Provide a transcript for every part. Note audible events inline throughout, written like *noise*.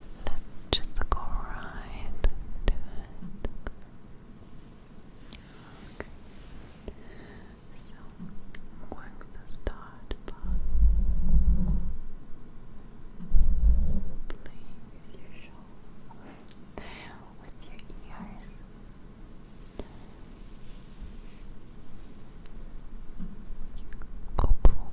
Let's just go right to it. So I'm going to start by playing your shoulders, with your ears. Couple.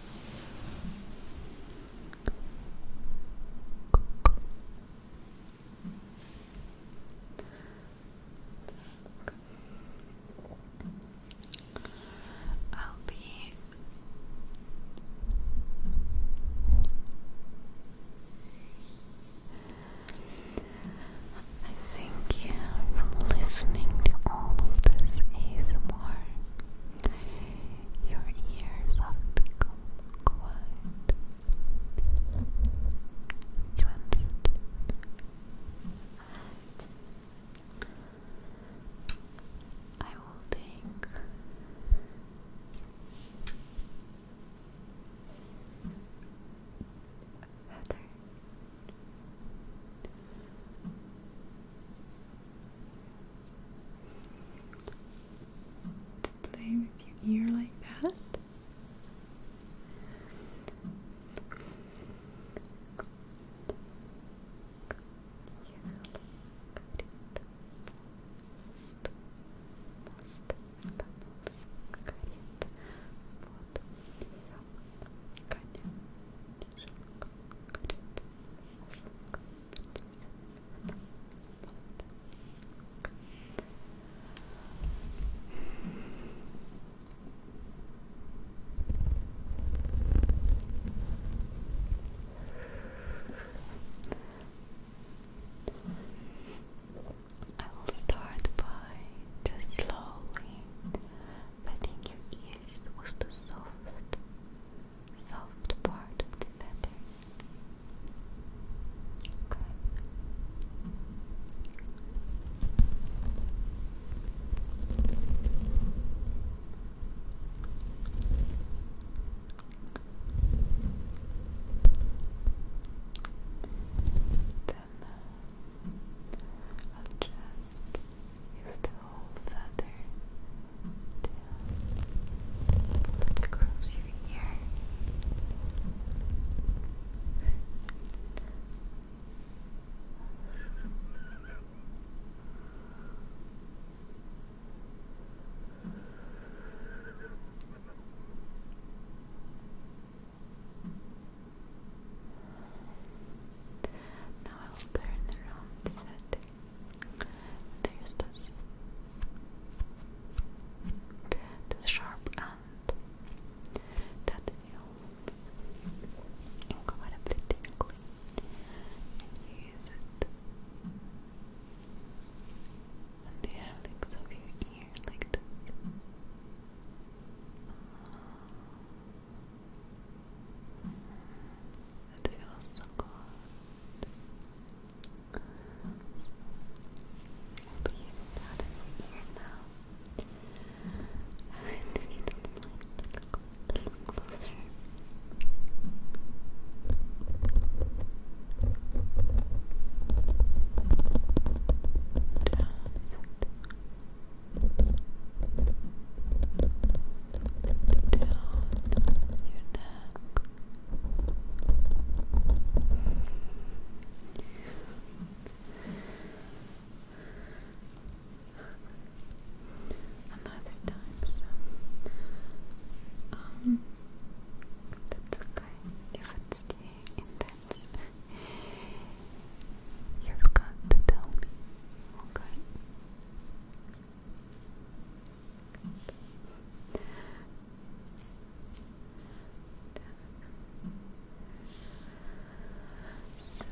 I'll be I think from listening to all of this ASMR your ears have become quiet, sensitive, I will take feather play with your ear like that. I will start by just slowly I think your ears was the soft, soft part of the feather. Okay. Then uh, i just is to hold the feather down across your ear. Now I'll turn around the There's this. sharp end that you use it the helix of your ear like this. It feels so good. I'll be using that in my ear now. And if you don't a little closer. Perfect down your neck. Another time, um, that's okay if it's intense. You've got to tell me, okay? So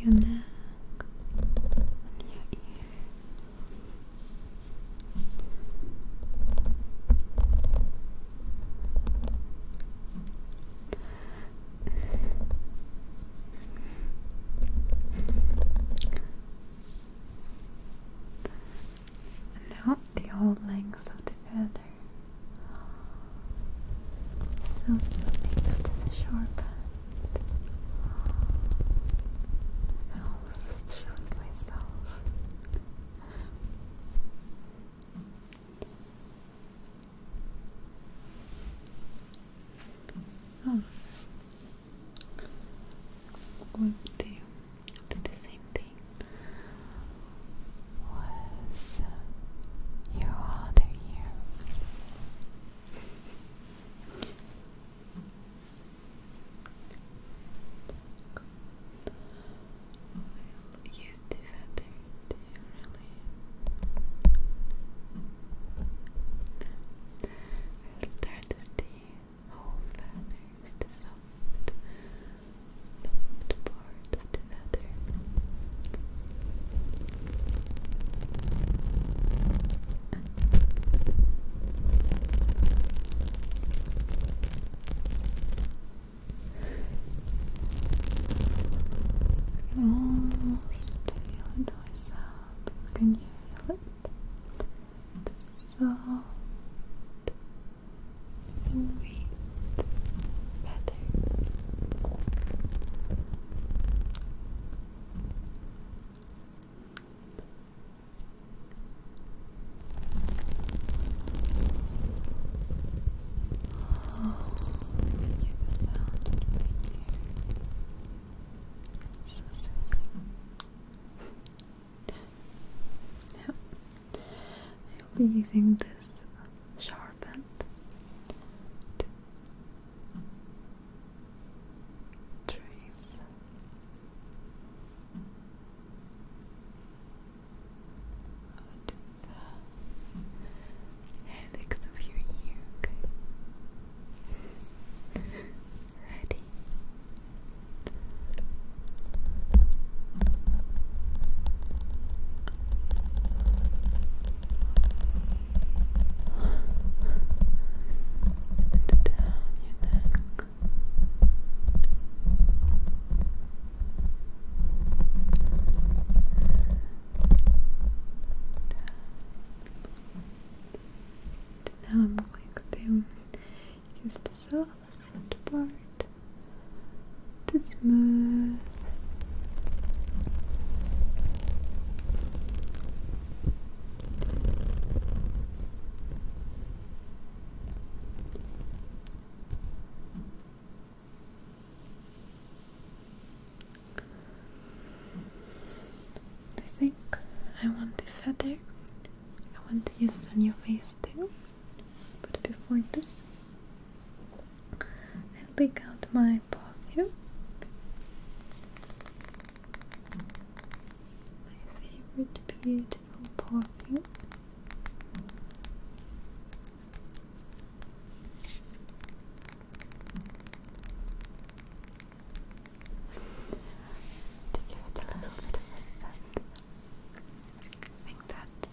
you know now the whole length of the feather. So smoothly, that is a sharp and I'll show myself. So I'm do the same thing with your other ear. I'll use the feather to really start to see whole feathers, the soft soft part of the feather. I can almost feel the Can you feel it? The soft, sweet feather. So soothing. now, I'll be using this sharpened to Trace. What is the helix of your ear? Ready and down your neck. Now I'm going to use the soft part to smooth I think I want the feather. I want to use it on your face too. But before this, I pick out my perfume my favorite beautiful perfume to give it a little bit of a scent I think that's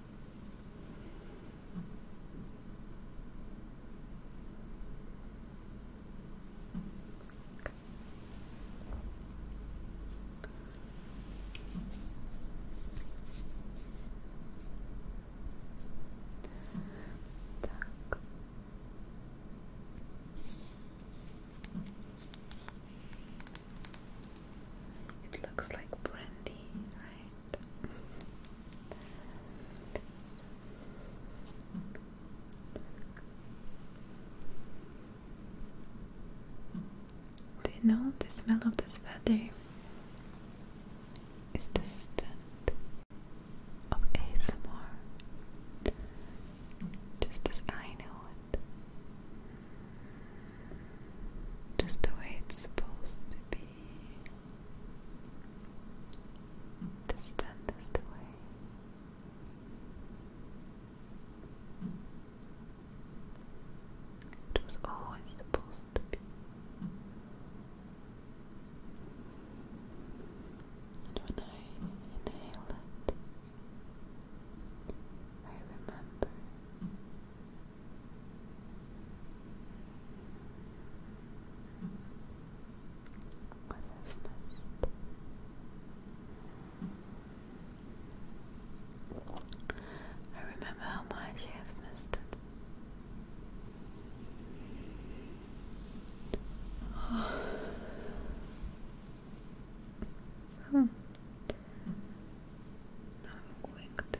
Okay. Так. It looks like brandy, right? Do you know the smell of this feather is the scent of ASMR? Just as I know it just the way it's supposed to be. The way. It always supposed to be. And when I inhale it, I remember what is I remember how much you have missed it. *sighs* навыкты.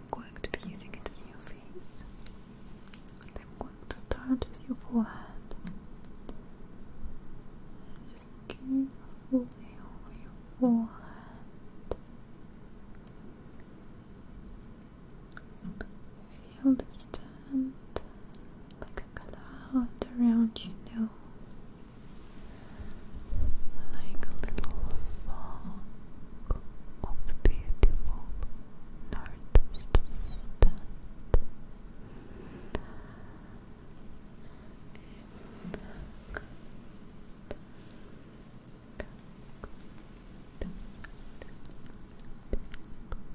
I'm going to be using it in your face. I'm going to start with your forehead. Just carefully over your forehead. Feel the and like a cloud around your like a little fog of beautiful northeast sun. Good. I'm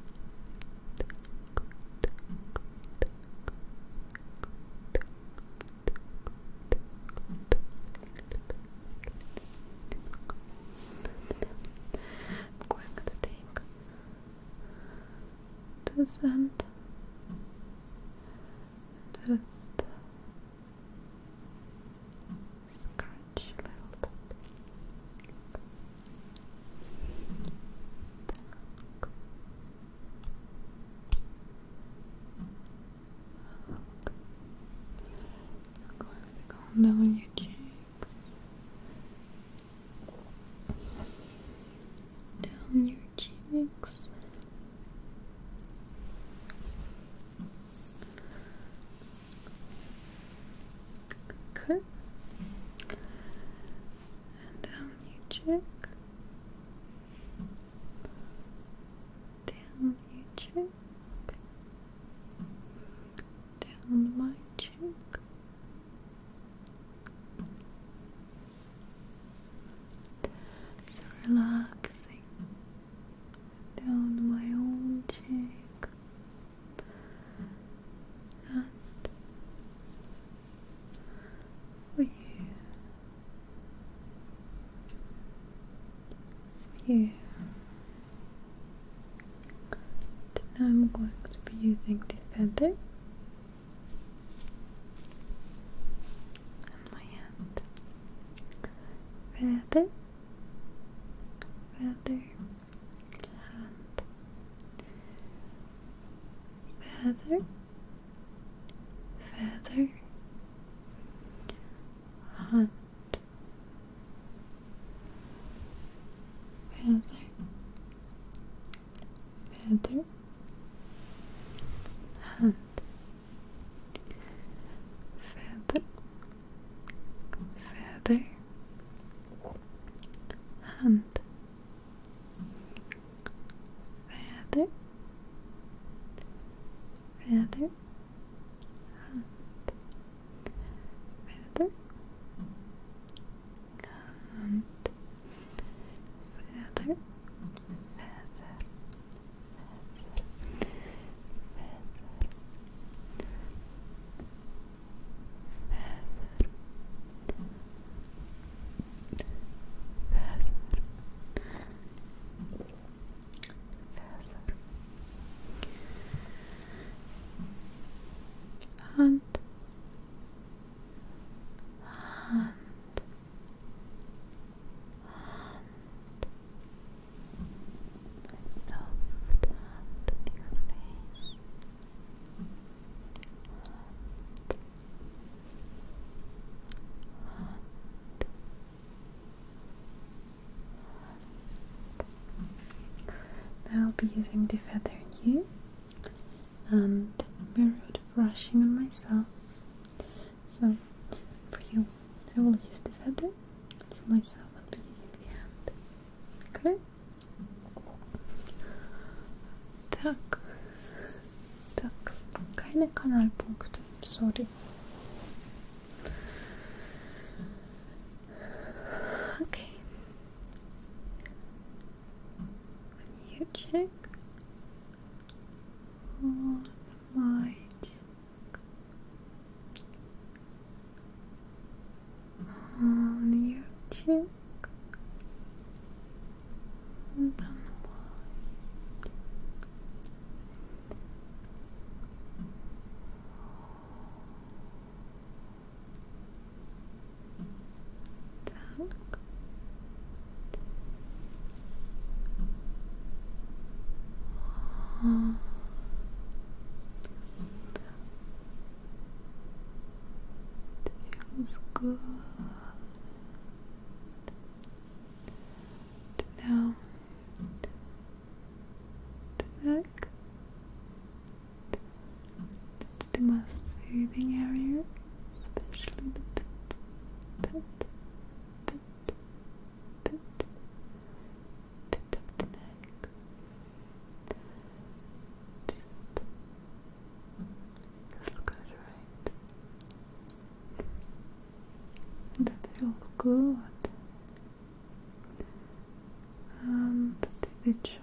going to take this just scratch a little bit down your cheeks, down your cheeks. Okay. down you check. Down you check. Down my cheek. So relaxing down my own cheek. And for you. Yeah. I'm going to be using the feather and my hand. Feather, feather, hand, feather, feather, hunt, feather, feather, hunt, feather, feather hand rather rather hand rather hand rather Feather, feather, feather, feather feather feather and and and my soft hand in face now I'll be using the feather in you and mirror brushing on myself. So for you, I will use the feather. For myself, I'll be using the hand. Okay. Так, так, keine Kanalpunkte, sorry. Okay. You check on on your and on the it feels good. Now the neck. It's the most soothing area, especially the bit the neck. Just let That feels good. Um, the jaw.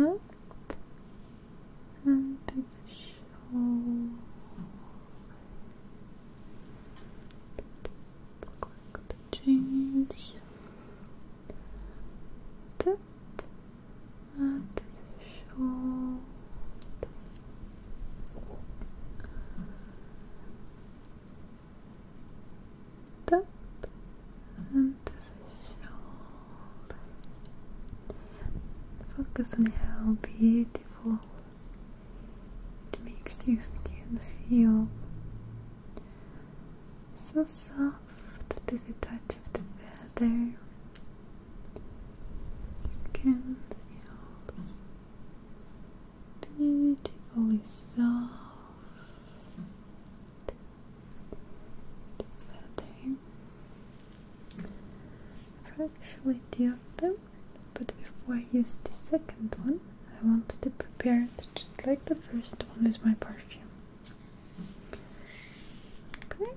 Up and the shoulder click the change tip at the shoulder tip and the shoulder focus on how beautiful it makes your skin feel so soft to the touch of the feather. Skin feels beautifully soft. The feather. I've them but before I use the second one I want to prepare it just like the first one with my perfume okay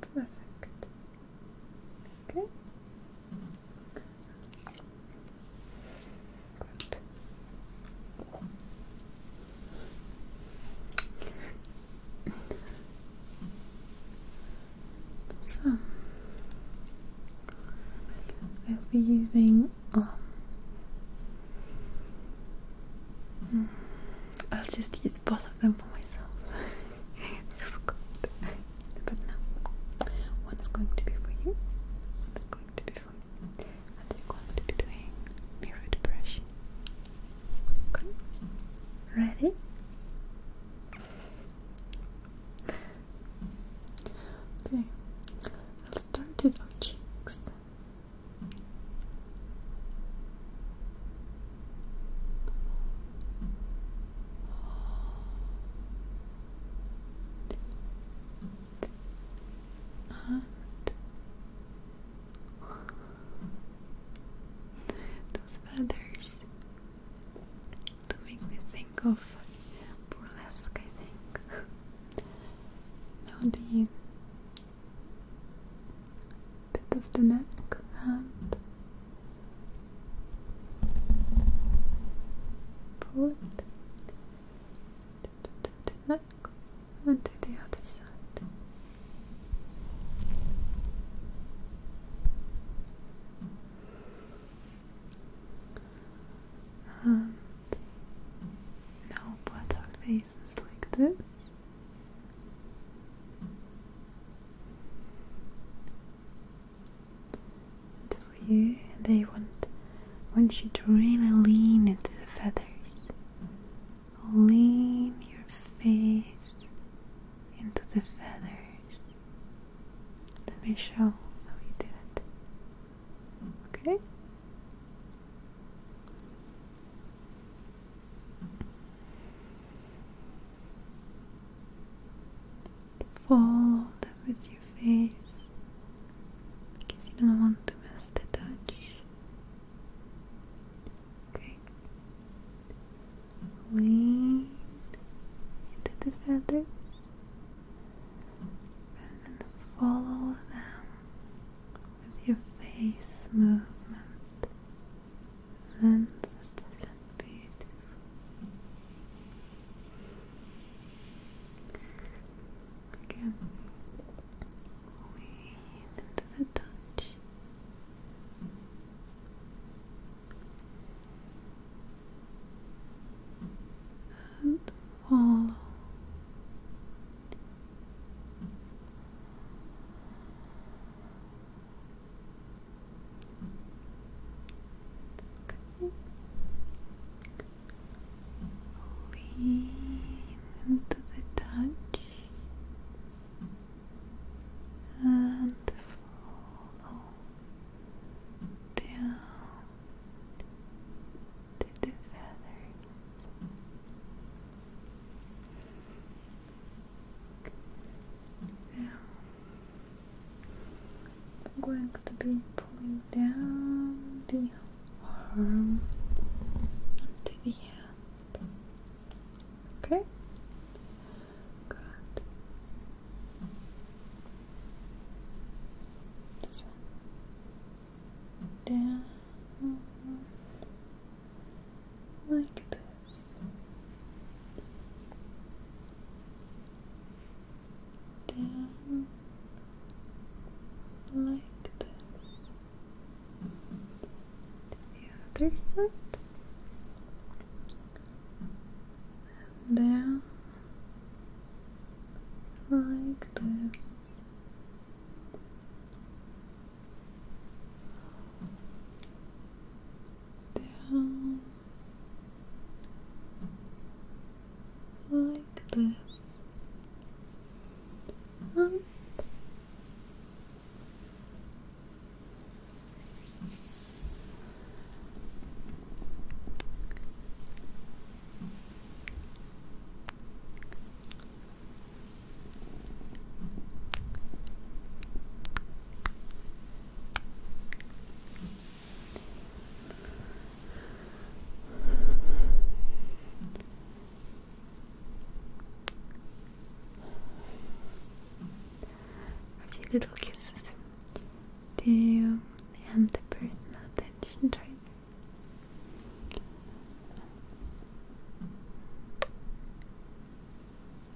Perfect. Okay. Gut. So, I'll be using. Um, I'll just use both of them for myself. *laughs* But now, one going to be for you, one going to be for me, and you're going to be doing mirrored brushing. Okay? Ready? Okay, I'll start with our cheeks those feathers to make me think of burlesque, I think. now the bit of the neck and put the onto the other side. Um, now our faces like this for you and they want want you to really lean into the feathers lean your face into the feathers let me show how you do it okay Follow them with your face because you don't want to miss the touch. Okay. Lean into the feathers and follow them with your face movement sensitive and beautiful. Again, lean into the touch. And follow Okay. Lean to the touch and follow down to the feathers. Now, I'm going to be pulling down the arm onto the hand. Okay? down like this down like this the other side down like this down like this and um. A few little kisses to you and the personal attention trainer.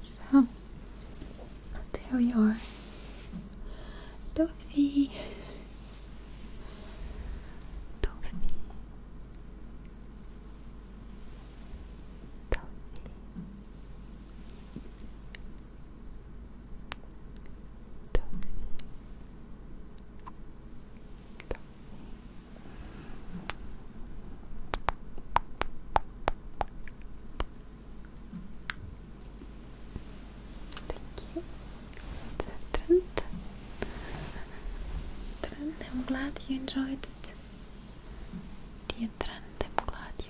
So there we are, Toffee. Toffee. Toffee you. Trend. Trend, I'm glad you enjoyed it. Dear Trend, I'm glad you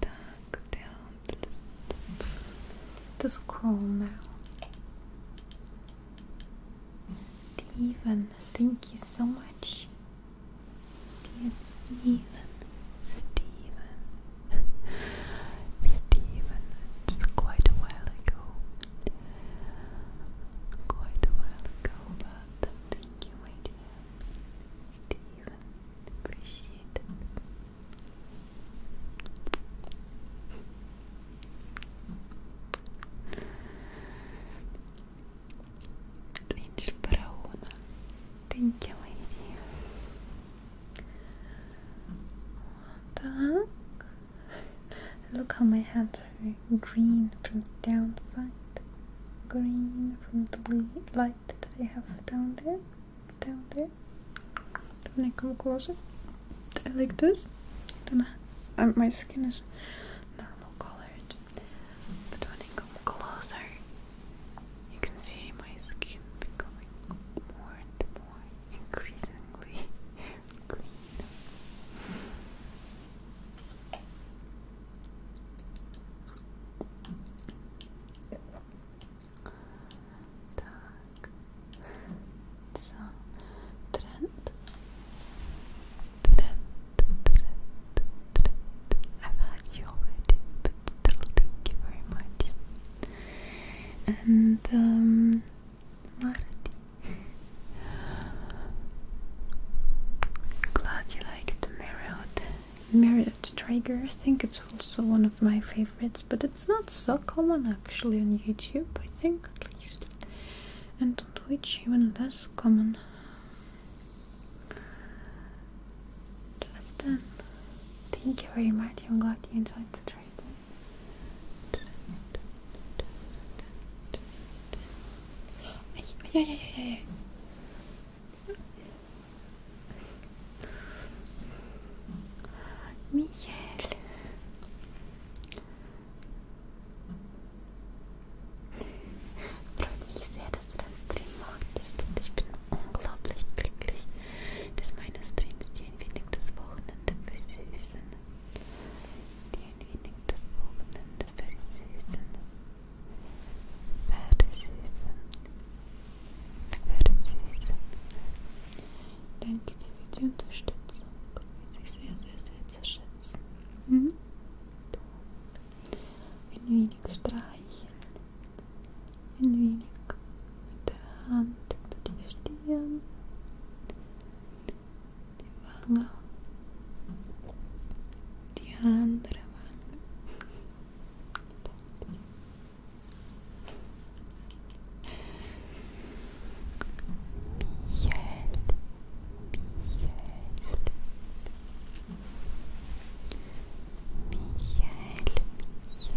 Так, down to scroll now. Steven, thank you so much. Dear Steven, *laughs* Steven, it's quite a while ago. Quite a while ago, but thank you, my dear. Steven, appreciate it. Angel Brauna, thank you, my dear. Вот Look how my hands are green from the downside, green from the light that I have down there, down there. When I come closer, I like this. Then I, my skin is normal colored, but when I come closer, you can see my skin becoming more and more increasingly *laughs* green. Так. I've had you already, but thank you very much. And um Marty Glad you liked the Marriott. Marriott I think it's also one of my favorites, but it's not so common actually on YouTube, I think at least. And on Twitch, even less common. Justin, um, thank you very much. I'm glad you enjoyed the trailer. Ja, ja, ja, ja. Michael. Freut mich sehr, dass du deinen Stream magst und ich bin unglaublich glücklich, dass meine Streams dir ein wenig das Wochenende versüßen dir ein wenig das Wochenende versüßen. Versüßen. Versüßen. Danke dir für die Unterstützung. Weiß ich sehr, sehr, sehr zu schätzen. Mhm. Ein wenig streicheln. Ein wenig mit der Hand über die Stirn. Devanga Diandravanga Behead Behead Michel, Michel,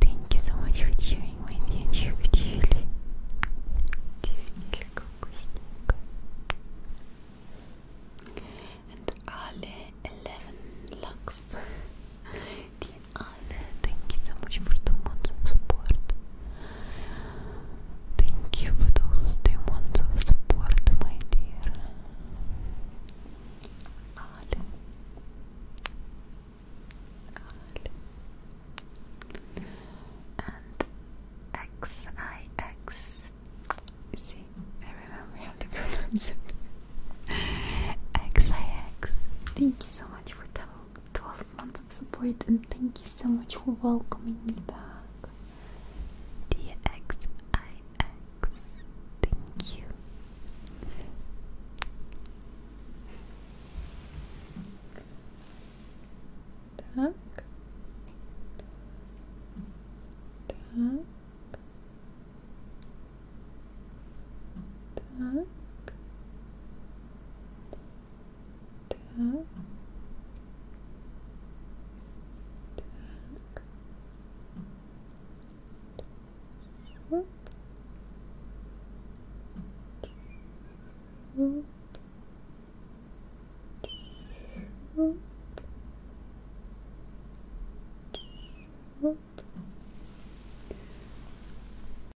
thank you so much for cheering with you, Chief And Ale 11 Lux. *laughs* Ale, thank you so much for the months of support. Thank you for those two months of support, my dear. Ale. Ale. And X I X. *laughs* See, I remember how to pronounce it. X I X. Thank you so much for telling 12 months of support, and thank you so much for welcoming me back. DXIX, thank you. Так. Так. Так. Так. Так. Шоп. Шоп. Шоп. Шоп.